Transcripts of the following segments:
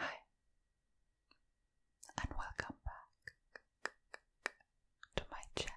Hi, and welcome back to my channel.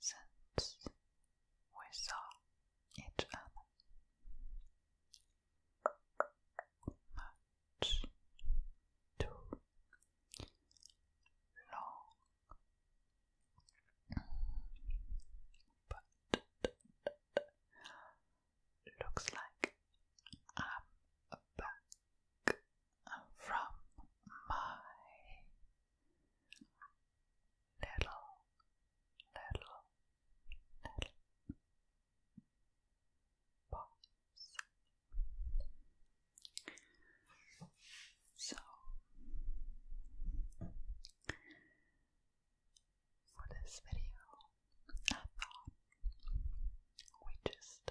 since we saw each other too long. But looks like i from my little, little, little pops. So, for this video, I thought we just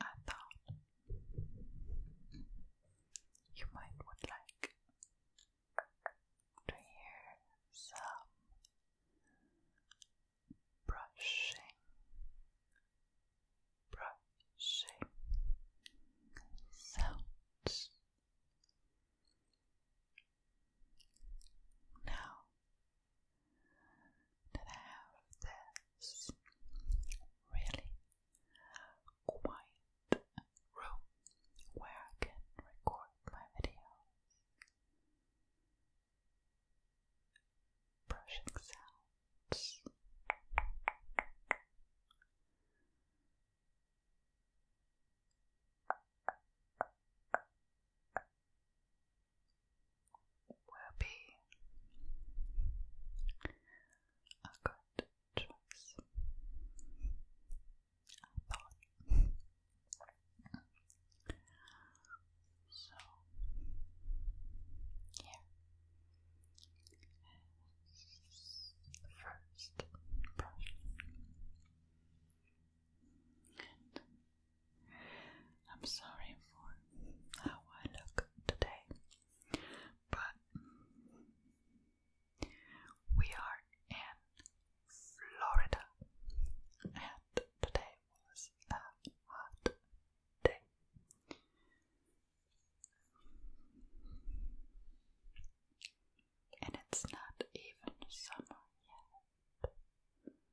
I thought you might would like to hear some brushing, brushing sounds. Now that have this really quiet room where I can record my videos. Brushing sounds will be a good choice. I thought. So, here is first brush. I'm sorry for how I look today, but we are in Florida, and today was a hot day. And it's not even summer yet.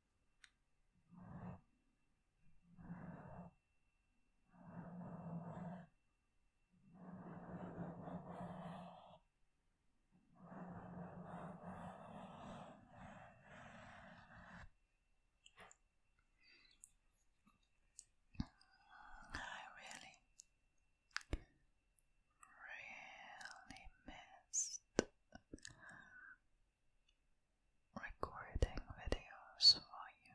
I really, really missed recording videos for you.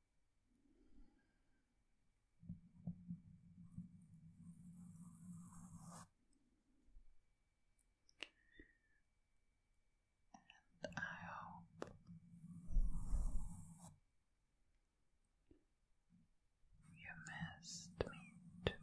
And I hope you missed me too.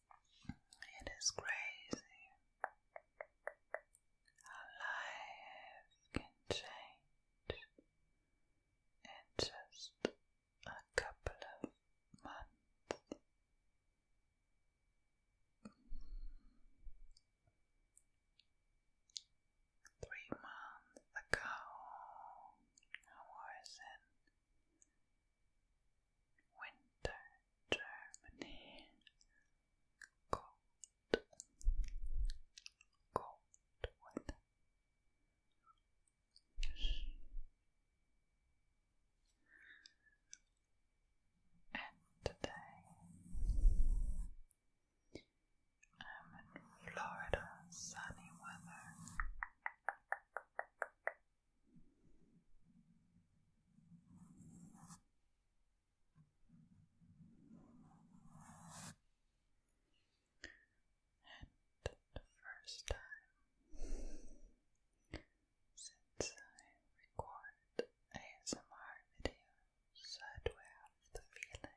It is crazy how life can change in just a couple of months. Three months ago, I was in Winter Germany cold, cold weather. And today I'm in Florida, sunny weather. And the first time since I record ASMR videos, I have the feeling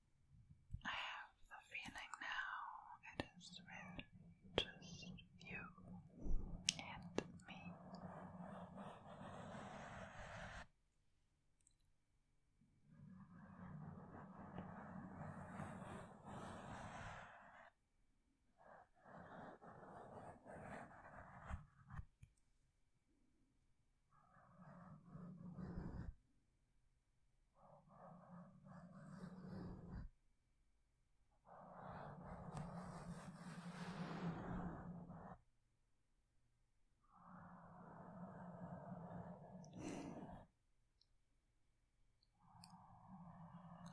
I have the feeling now it is really just you and me. So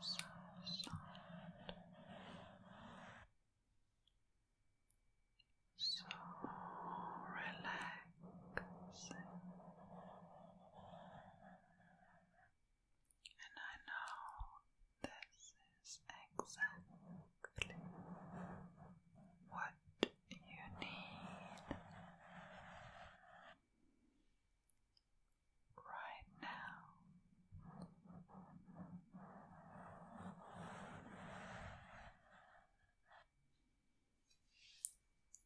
soft, so relaxed relax. And I know this is exactly what you need right now.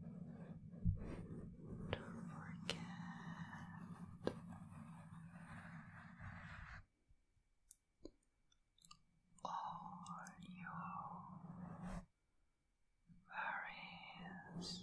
Don't forget. All your various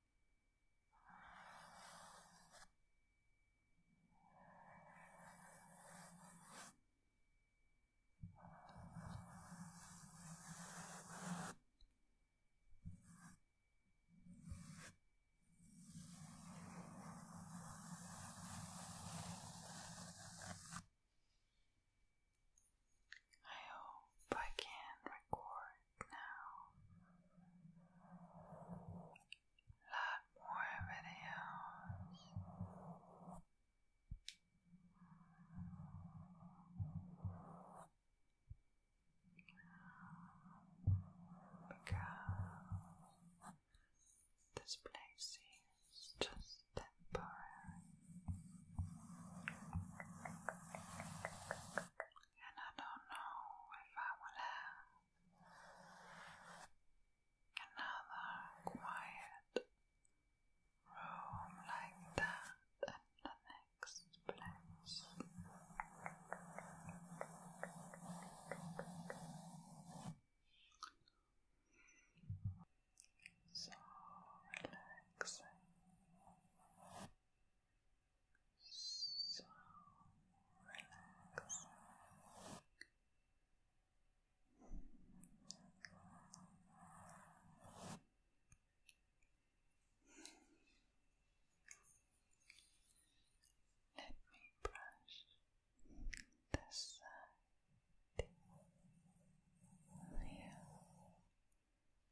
I hope I can record now. Lot more videos. Because this place is just temporary and I don't know if I will have another quiet room like that in the next place. So relaxing so relaxing. Let me brush this side. Here.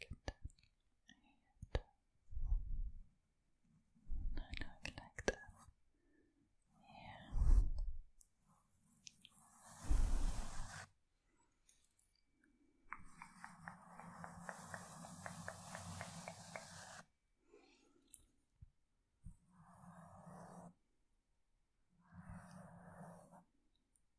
Good. And like that. Yeah.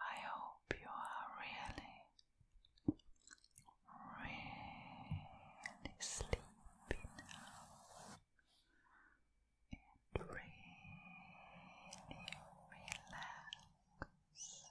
I hope you are really, really sleepy now and really relaxed.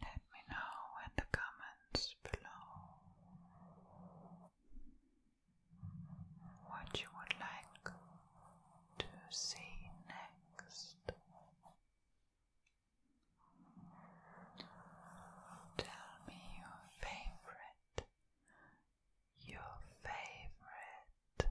Let me know in the comments below what you would like to see next. Tell me your favorite, your favorite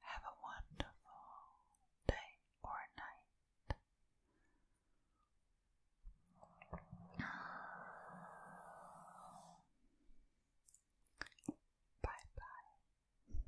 Have a wonderful day or night. Bye bye.